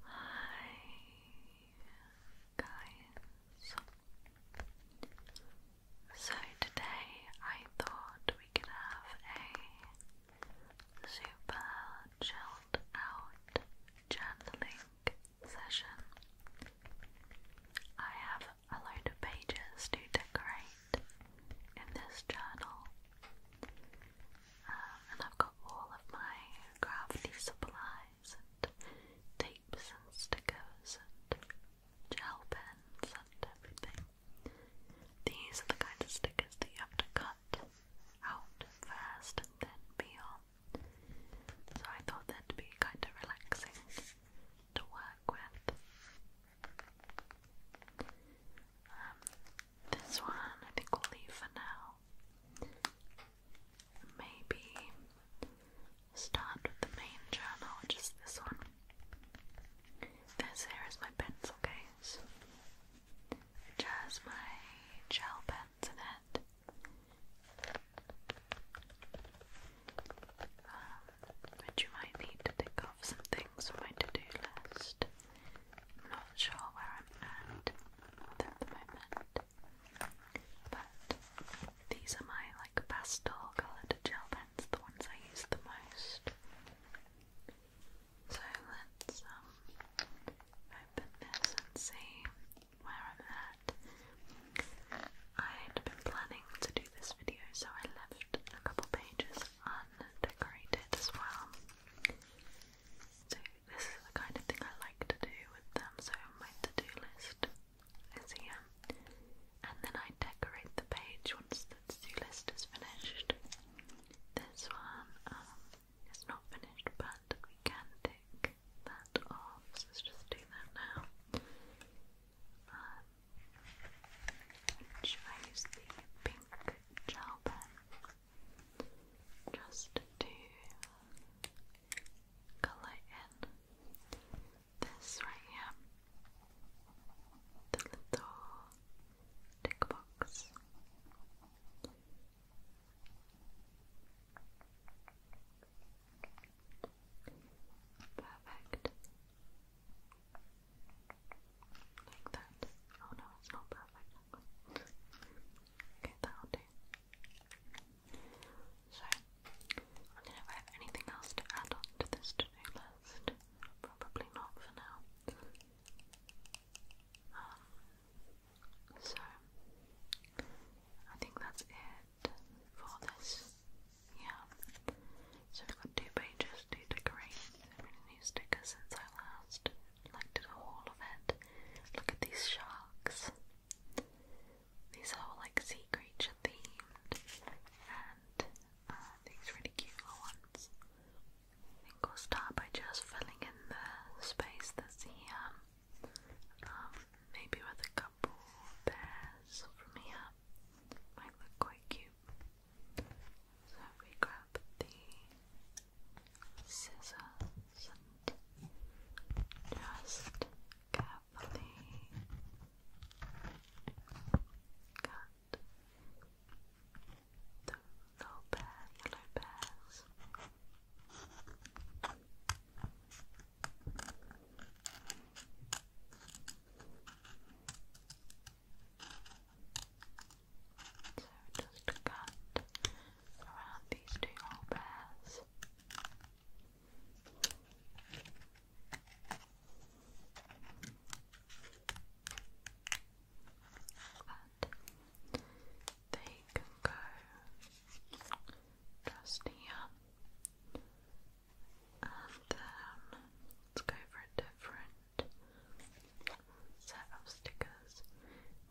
Hi guys. So today I thought we could have a super chilled out journaling session. I have a load of pages to decorate in this journal and I've got all of my crafty supplies and tapes and stickers and gel pens and everything. These are the kind of stickers that you have to cut out first and then peel. So I thought that'd be kind of relaxing to work with. Um, this one I think we'll leave for now. Maybe start with the main journal, which this one. This here is my pencil case, which my gel pens in it. Um, you might need to tick off some things on my to-do list not sure where I'm at at the moment. But these are my like pastel coloured gel pens, the ones I use the most. So let's um, open this and see where I'm at. I had been planning to do this video, so I left a couple pages undecorated as well. So this is the kind of thing I like to do with them. So my to-do list is here, um, and then I decorate the page once the to-do list is finished. This one um, is not finished, but we can take that off. So let's just do that now. Um, I use the pink gel pen? just to colour in this right here, the little tick box. Perfect. Like that. Oh no, it's not perfect. Okay, that'll do. So, I don't know if I have anything else to add on this to do list. Probably not for now. Um, so, I think that's it for this. Yeah. So, I've got two pages to decorate. So, new stickers since I last like the whole of it. Look at these sharks. These are like sea creature themed, and uh, these really cute ones. I think we'll start by just filling in the space that's here. Um, maybe with a couple bears from here. Might look quite cute. So we grab the scissors and just carefully cut the little pear, yellow pears. So just cut around these two whole pairs. But they can go just here and then let's go for a different set of stickers.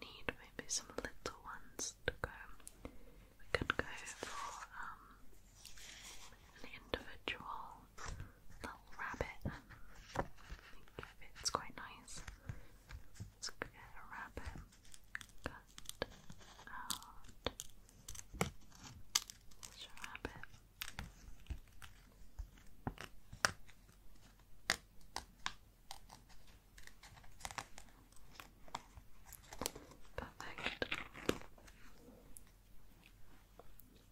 Need maybe some little ones to go. We could go for um, an individual little rabbit. I think it's quite nice. Let's get a rabbit cut out. There's rabbit. Perfect.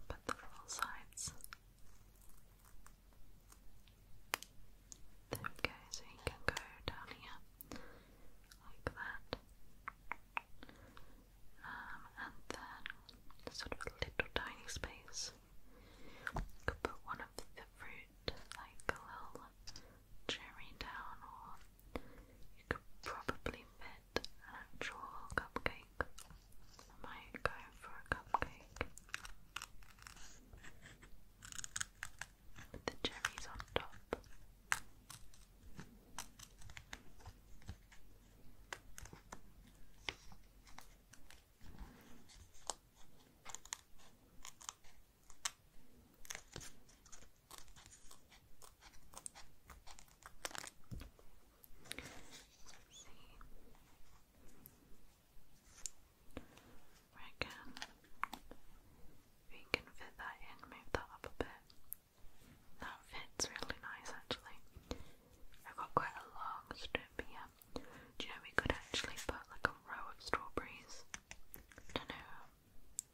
Put the full sides. There we go, so you can go down here like that. Um, and then sort of a little tiny space you could put one of the fruit, like a little cherry down, or you could probably fit an actual cupcake. I might go for a cupcake. With the cherries on top. Reckon we can fit that in, move that up a bit. That fits really nice actually. I've got quite a long strip here. Do you know we could actually put like a row of strawberries? I don't know.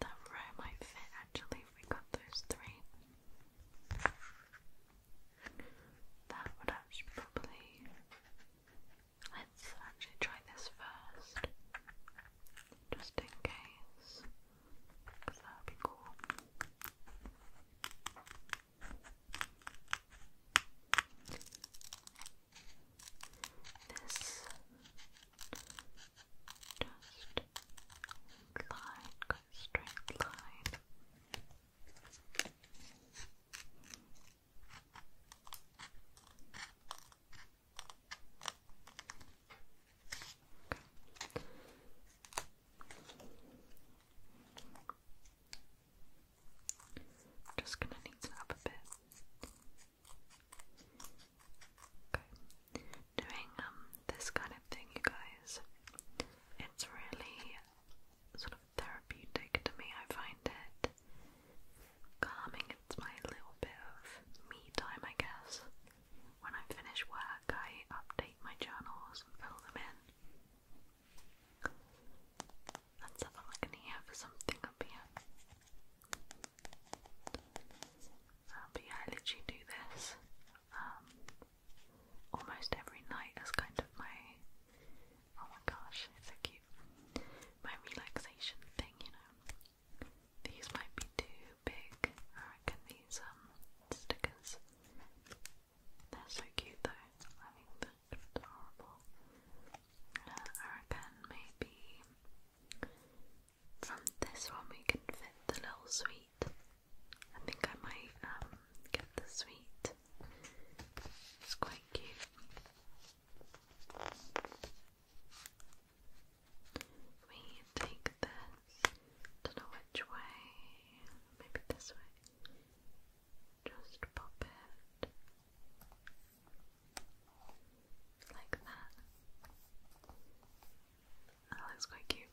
That row might fit actually if we got those three. That would actually probably. Let's actually try this first, just in case, because that would be cool. This just line, go straight line. I'm just gonna need to up a bit. Okay. Doing um, this kind of thing you guys, it's really sort of therapeutic to me. I find it calming. It's my little bit of me time I guess. When I finish work I update my journals fill them in. Let's have a look in something up here. Um, I literally do this um, almost every night as kind of my oh my gosh, it's so cute. My relaxation thing, you know. These might be too big. I reckon these um stickers they're so cute though. I think they're adorable. Uh, I reckon maybe from this one we can fit the little sweet. I think I might um get the sweet. It's quite cute. We take this. Don't know which way. Maybe this way. Just pop it like that. That looks quite cute.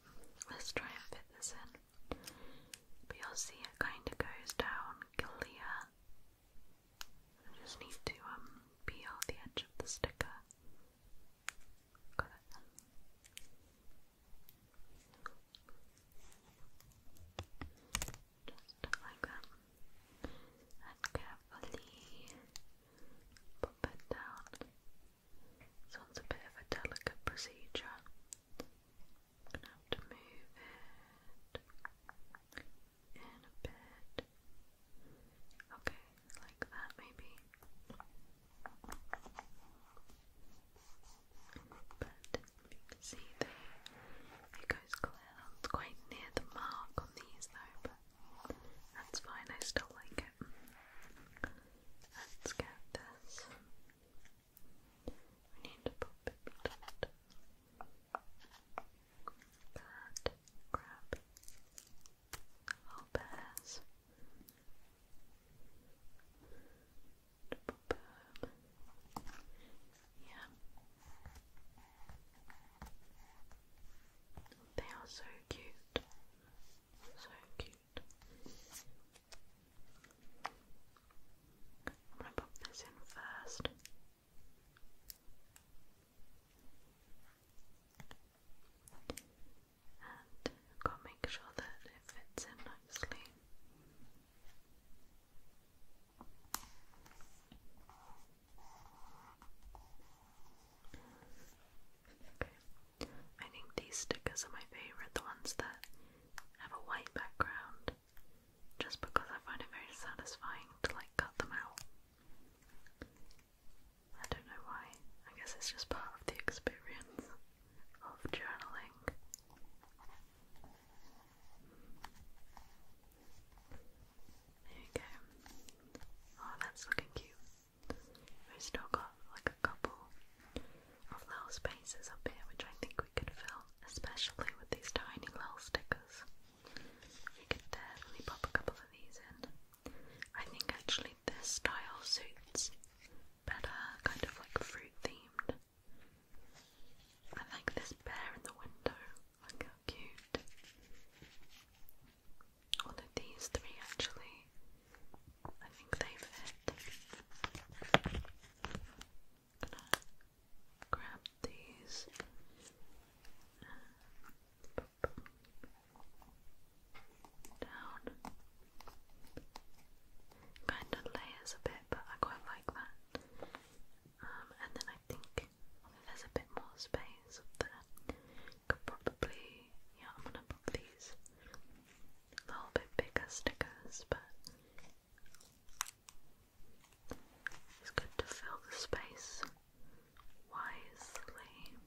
Let's try and fit this in. But you'll see it kind of goes down clear. I just need to um, peel the edge of the sticker. Got it. Just like that. And carefully pop it down. This a bit of a delicate procedure. gonna have to move it in a bit. Okay, like that maybe. But you can see there it goes clear. That's quite near the mark on these though, but that's fine, I still like it. Let's get this. We need to pop it that grab our bears. Yeah. They are so cute. So cute. I'm gonna pop this in first. And I've got to make sure that it fits in nicely. I think these stickers are my favourite, the ones that have a white background, just because I find it very satisfying to like cut them out. I don't know why. I guess it's just part of the experience of journaling. There you go. Oh, that's looking cute. we still got like a couple of little spaces up here, which I think we could fill, especially with these tiny little stickers. We could definitely pop a couple of these in. I think actually this style suits better, kind of like fruit themed I like this bear in the window. Look how cute. All of these three actually. I think they fit. gonna grab these. Down. Kind of layers a bit but I quite like that. Um, and then I think there's a bit more space there, could probably, yeah, I'm gonna pop these a little bit bigger stickers, but it's good to fill the space wisely.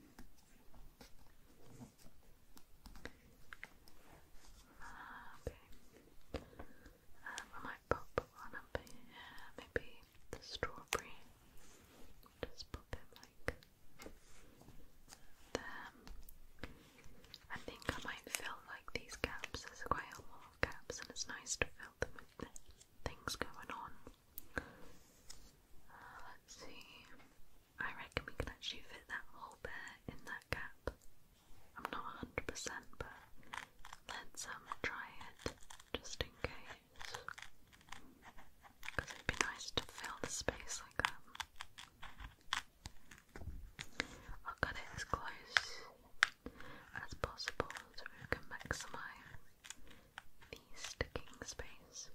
Ah, okay. Um, I might pop one up maybe the strawberry. Just pop it like there. I think I might fill like these gaps. There's quite a lot of gaps, and it's nice to fill them with things going on. Uh, let's see. I reckon we can actually fit that hole there in that gap. I'm not 100%, but let's um, try it just in case. Because it'd be nice to fill the space like that. Um, I'll cut it as close as possible so maximize the sticking space.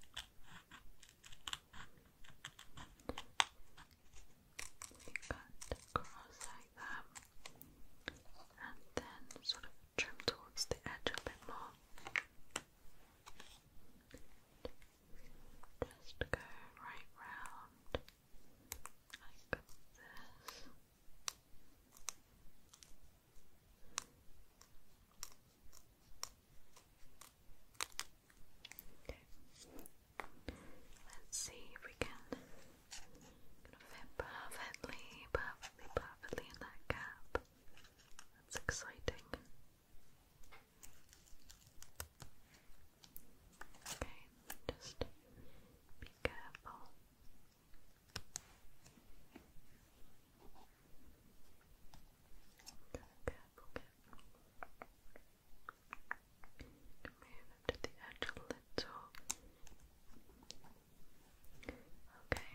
We cut across like that and then sort of trim towards the edge a bit more. Just go right round like this. Let's see if we can fit perfectly, perfectly, perfectly in that gap. That's exciting. Okay, just be careful. Careful, Move to the edge a little. Okay.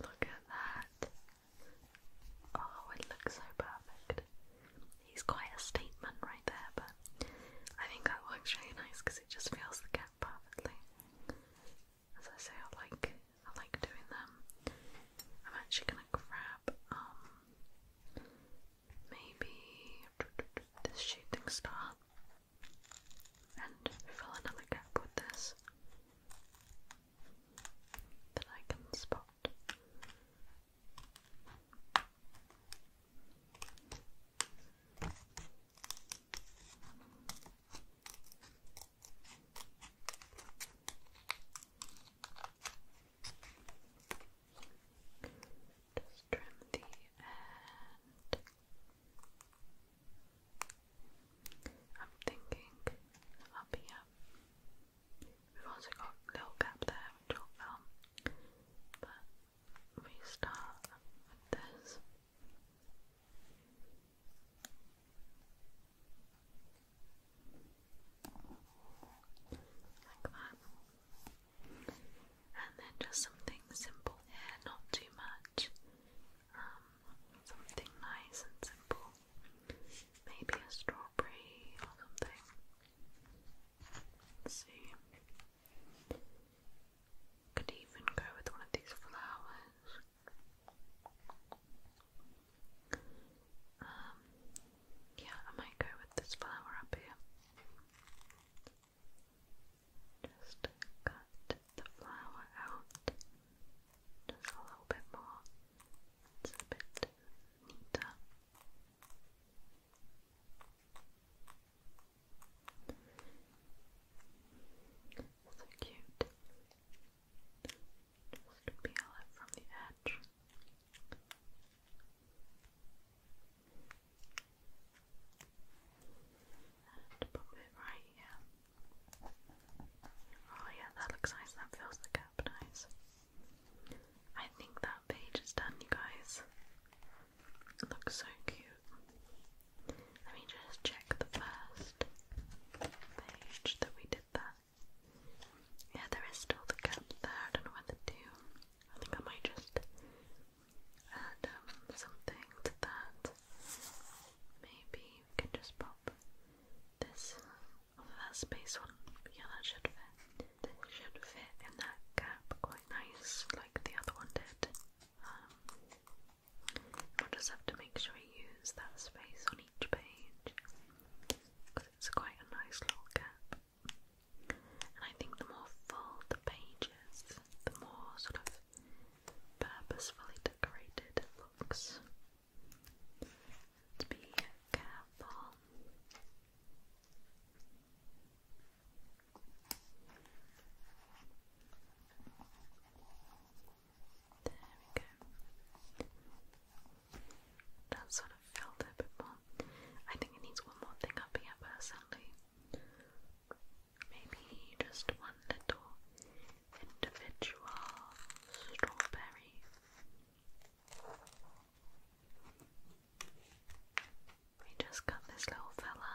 Look at that. Oh, it looks so perfect. He's quite a statement right there, but I think that works really nice because it just fills the gap perfectly. As I say, I like I like doing them. I'm actually gonna grab um maybe this shooting star and fill another gap with this that I can spot. Just trim the end. I'm thinking up um, We've also got a little gap there which will um, But we start with like that. And then just something simple not too much. Um, something nice and simple. Maybe a strawberry or something. see. Could even go with one of these flowers. Um, yeah, I might go with this flower up here. Just cut the flower out just a little bit more. It's a bit neater. So cute. Just peel it from the edge. And pop it right here. Oh yeah, that looks nice. That fills the gap nice. I think that page is done, you guys. looks so cute. Let me just check the first page that we did that. Yeah, there is still the gap there. I don't know what to do. I think I might just add um, something to that. Maybe we can just pop this over that space one. Yeah, that should fit. should fit in that gap quite nice, like the other one did. Um, just have to make sure we use that space on each page it's quite a nice little gap. And I think the more full the pages, the more sort of purposefully decorated it looks. Let's be careful. There we go. That's sort of filled it a bit more. I think it needs one more thing up here personally. Maybe just one little individual strawberry. We just got this little fella.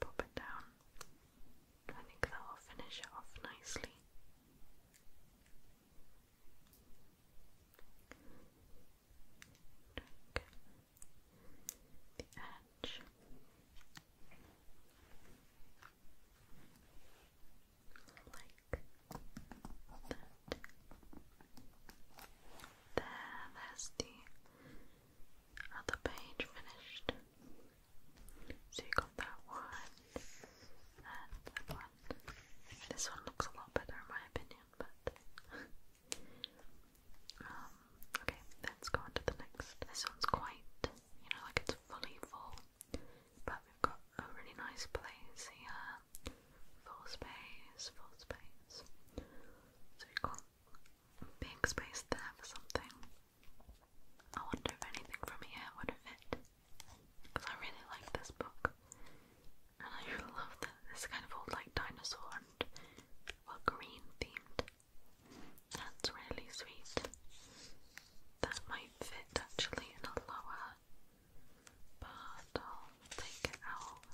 Pop it down. I think that will finish it off nicely. the edge. Like that. there's the other page finished. So you got that one and that one. This one looks a lot better in my opinion, but um, okay, let's go on the next. This one's quite, you know, like it's fully full, but we've got a really nice place here. Full space, full space. So we got big space there for something. I wonder if anything from here would fit. Because I really like this book. And I love that it's kind of all like dinosaur well green themed. That's really sweet. That might fit actually in a lower, but I'll take it out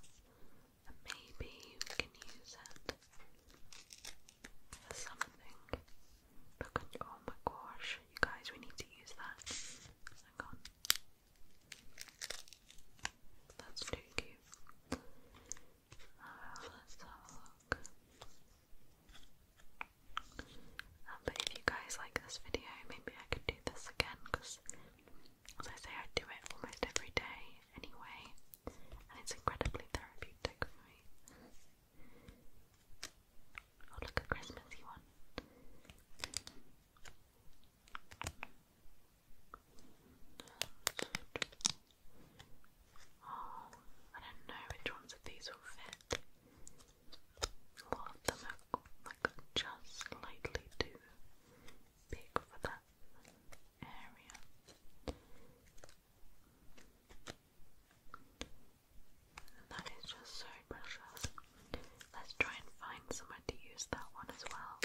maybe we can use it for something. oh my gosh, you guys, we need to use that. Hang on. That's too cute. Ah, let's have a look. Ah, but if you guys like this video, maybe I could do this again because, as I say, I do it almost every day anyway and it's incredibly therapeutic for me. Oh, look, a Christmassy one. Oh, I don't know which ones of these will fit. A of them are like just slightly too big for that area. That is just so precious. Let's try and find somewhere to use that one as well.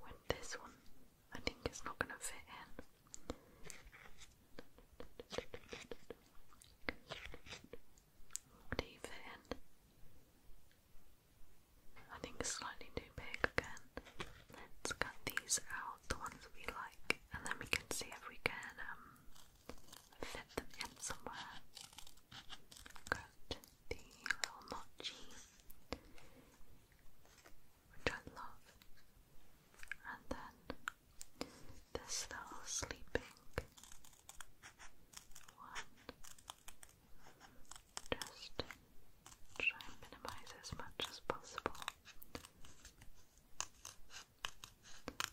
With this one, I think it's not going to fit in. Do you I think it's slightly too big again. Let's cut these out, the ones we like, and then we can see if we can um, fit them in somewhere. Cut the little notchy which I love. And then this little sleeping one just try and minimize as much as possible.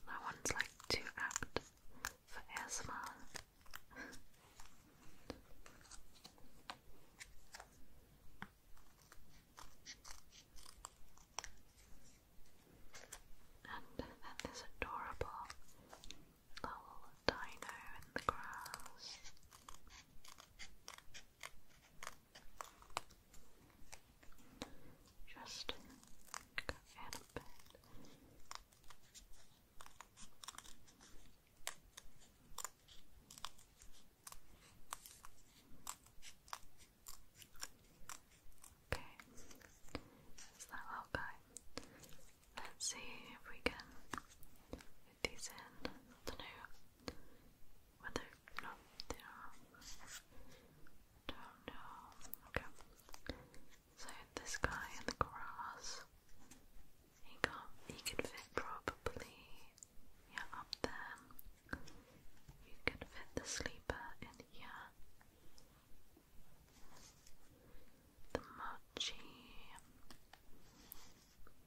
That one's like too apt for ASMR. And then this adorable little dino in the grass. Just go in a Okay, that's that little guy. Let's see if we can get these in. I don't know whether no, they don't know. Okay. So this guy in the grass he can he could fit probably yeah up there. You could fit the sleeper in here. The mochi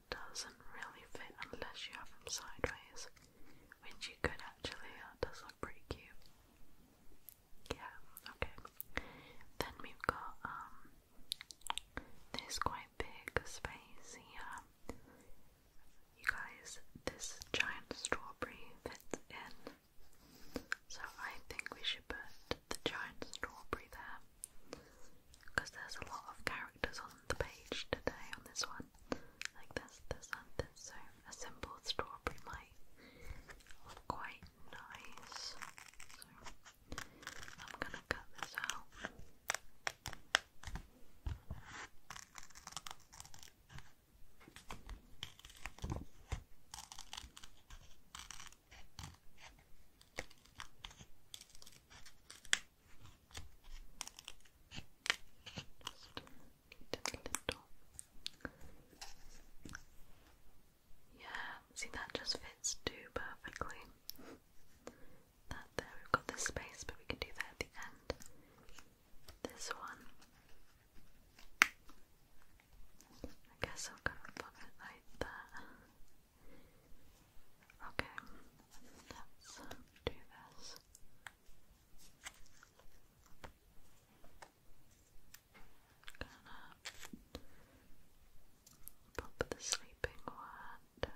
doesn't really fit unless you have him sideways, which you could actually. That uh, does look pretty cute. Yeah, okay. Then we've got um this quite big space here. You guys, this giant strawberry fits in. So I think we should put the giant strawberry there. Because there's a lot of characters on the page today on this one. Like this, this, and So a simple strawberry might look quite nice. So I'm gonna cut this out. Just a Yeah, see that just fits too perfectly that there. We've got this space, but we can do that at the end. This one. I guess I'll go and like that. Okay, let's do this. Gonna pop the sleeping one yeah.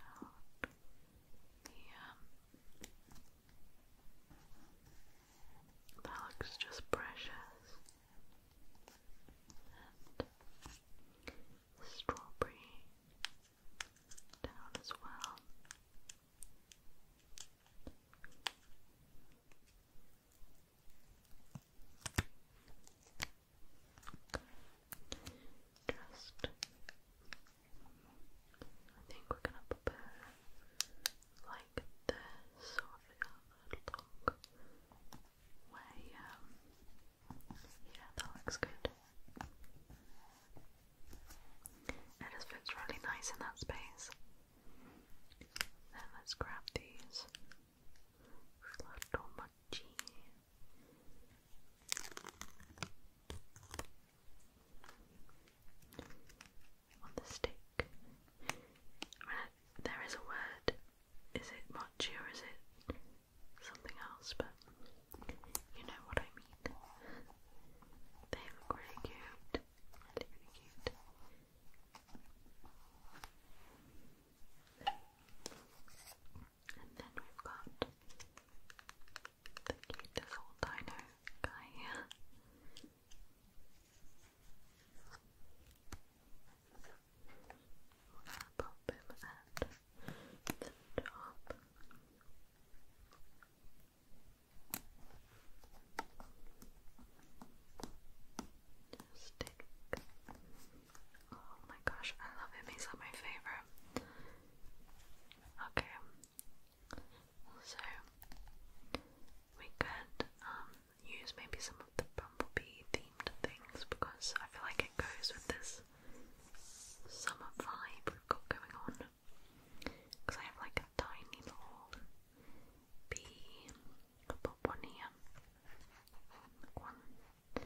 Um, that looks just precious. strawberry down as well. Just, I think we're gonna put like this, sort of a long way. Um, yeah, that looks good. It just fits really nice in that space. Then let's grab these little on the stick. There is a word. Is it mochi or is it something else? But you know what I mean. They look really cute. Really, really cute. And then we've got the beautiful dino guy here. Pop him at the top. Just Oh my gosh, I love him. He's my favorite. Okay, so we could um, use maybe some of the bumblebee themed things because I feel like it goes with this summer vibe we've got going on. Because I have like a tiny little bee, pop one here, one, or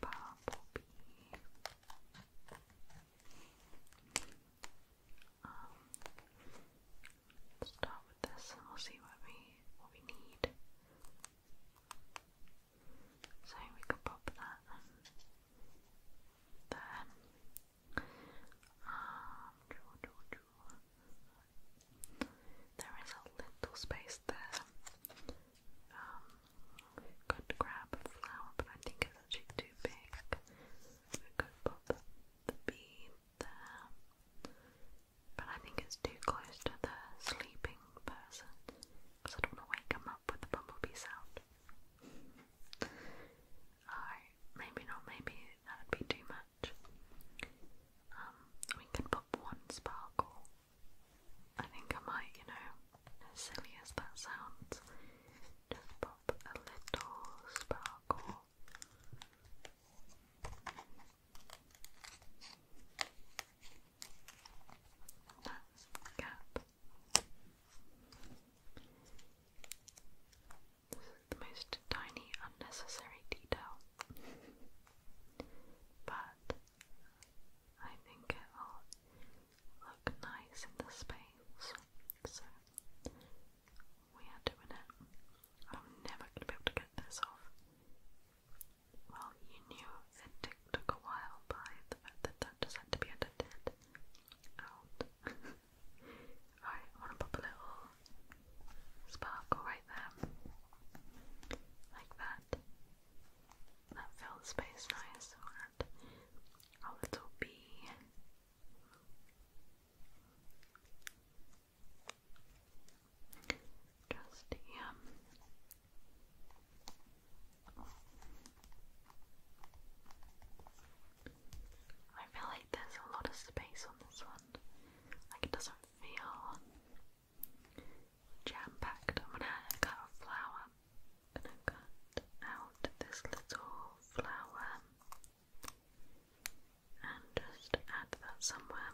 bumblebee. let's start with this, and we'll see what we what we need. So we could pop that there. Um, draw, draw, draw. There is a little space there. Um, could grab a flower, but I think it's actually too big. We put the, the there, but I think it's too close to the sleeping person because I don't want to wake him up with the bumblebee sound. Alright, maybe not, maybe that would be too much. Um, we can pop one sparkle. I think I might, you know, silly as that sounds, just pop a little sparkle. That's the this is the most tiny, unnecessary detail. but I think it will look nice in the space, so we are doing it. I'm never going to be able to get this off. Well, you knew it took a while by the fact that that just had to be edited I want to pop a little sparkle right there, like that. That fills space nice. And a little bee. Just here. I feel like there's a lot of space on this one. Like it doesn't feel jam packed. I'm gonna cut a flower. I'm gonna cut out this little flower and just add that somewhere.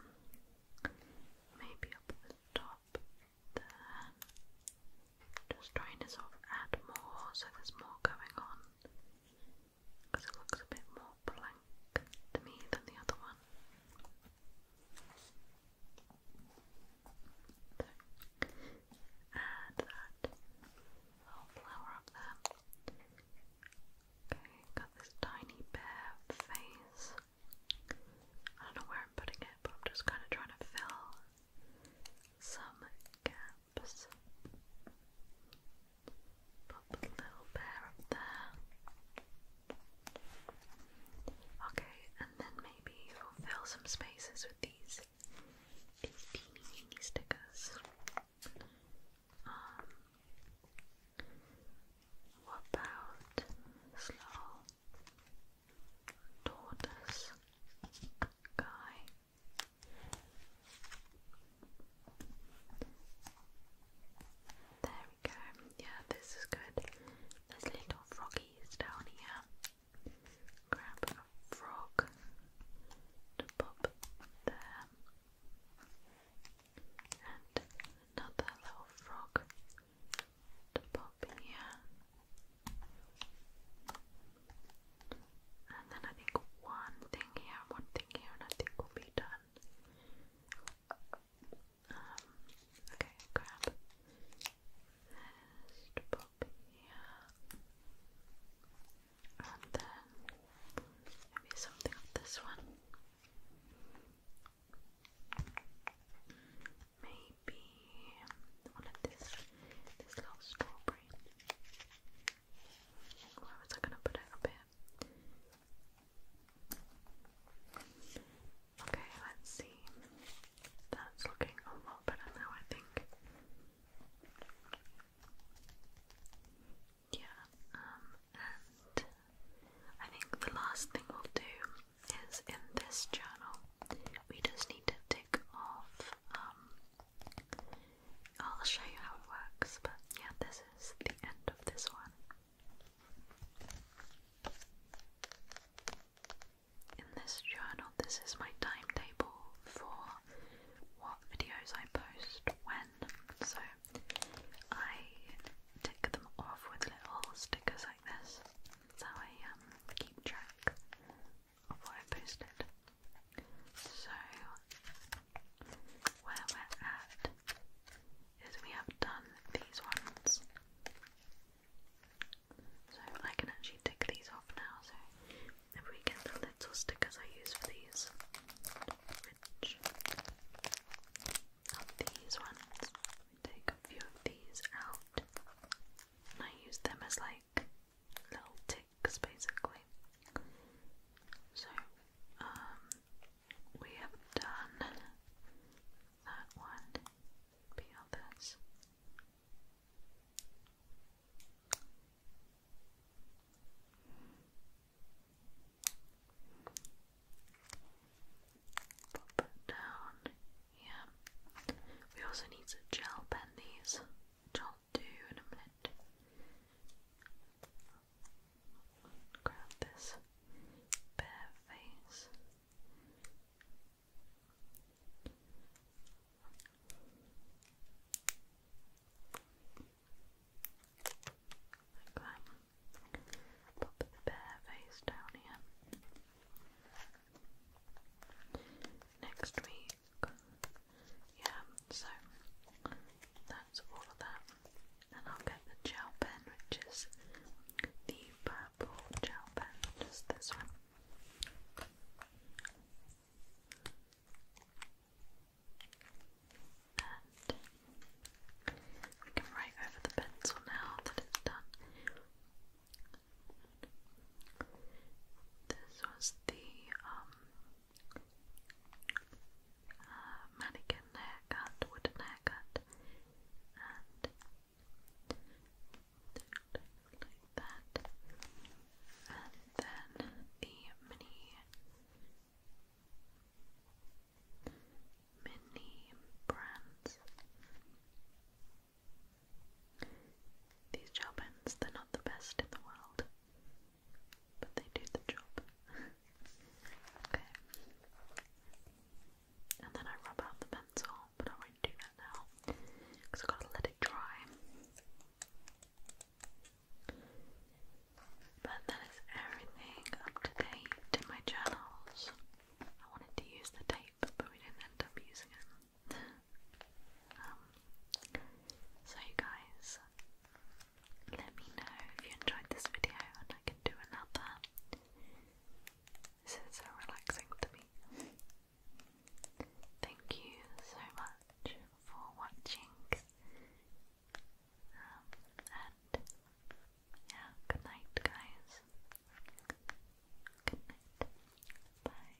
Maybe up the top there. Just trying to sort of add more so there's more going on because it looks a bit more blank to me than the other one. add that little flower up there. Okay, got this tiny bare face. I don't know where I'm putting it, but I'm just kind of trying to fill some gaps. Pop a little pair up there. Okay, and then maybe will fill some spaces with these teeny teeny stickers. Um, what about slow tortoise guy? There we go. Yeah, this is good. There's little froggies down here. Grab a frog to pop there. And another little frog to pop here. And then I think one thing here, one thing here, and I think we'll be done okay, grab this to And then maybe something of this one. Maybe one of this this little strawberry. Where was I going to put it Okay, let's see. That's looking a lot better now, I think. Yeah, um, and I think the last thing we'll do is in this journal, we just need to tick off um, I'll show you how it works, but yeah, this is the end of this one. In this journal, this is my timetable for what videos I post when. So I tick them off with little stickers like this. That's how I um, keep track of what I posted. So, where we're at is we have done these ones. So, I can actually tick these off now. So, if we get the little stickers I use for these, which are these ones, we take a few of these out and I use them as like little tin Cause basically. So, um, we have done that one, the others. Pop it down. Yeah. We also need to gel pen these do in a minute. Grab this bare face. Like Pop the bare face down here. Next week yeah, so that's all of that. And I'll get the gel pen, which is the purple gel pen, just this one. And we can write over the pencil now that it's done. This was the um uh, mannequin haircut, wooden haircut, and that, and then the mini mini brands. These gel pens, they're not the best in the world but they do the job. okay. And then I rub out the pencil, but I won't do that now because I've got to let it dry. But that is everything up to date in my journals. I wanted to use the tape, but we didn't end up using it. Um, so, you guys, let me know if you enjoyed this video and I can do another. This is so relaxing to me. Thank you so much for watching. Um, and yeah, good night, guys. Good night. bye.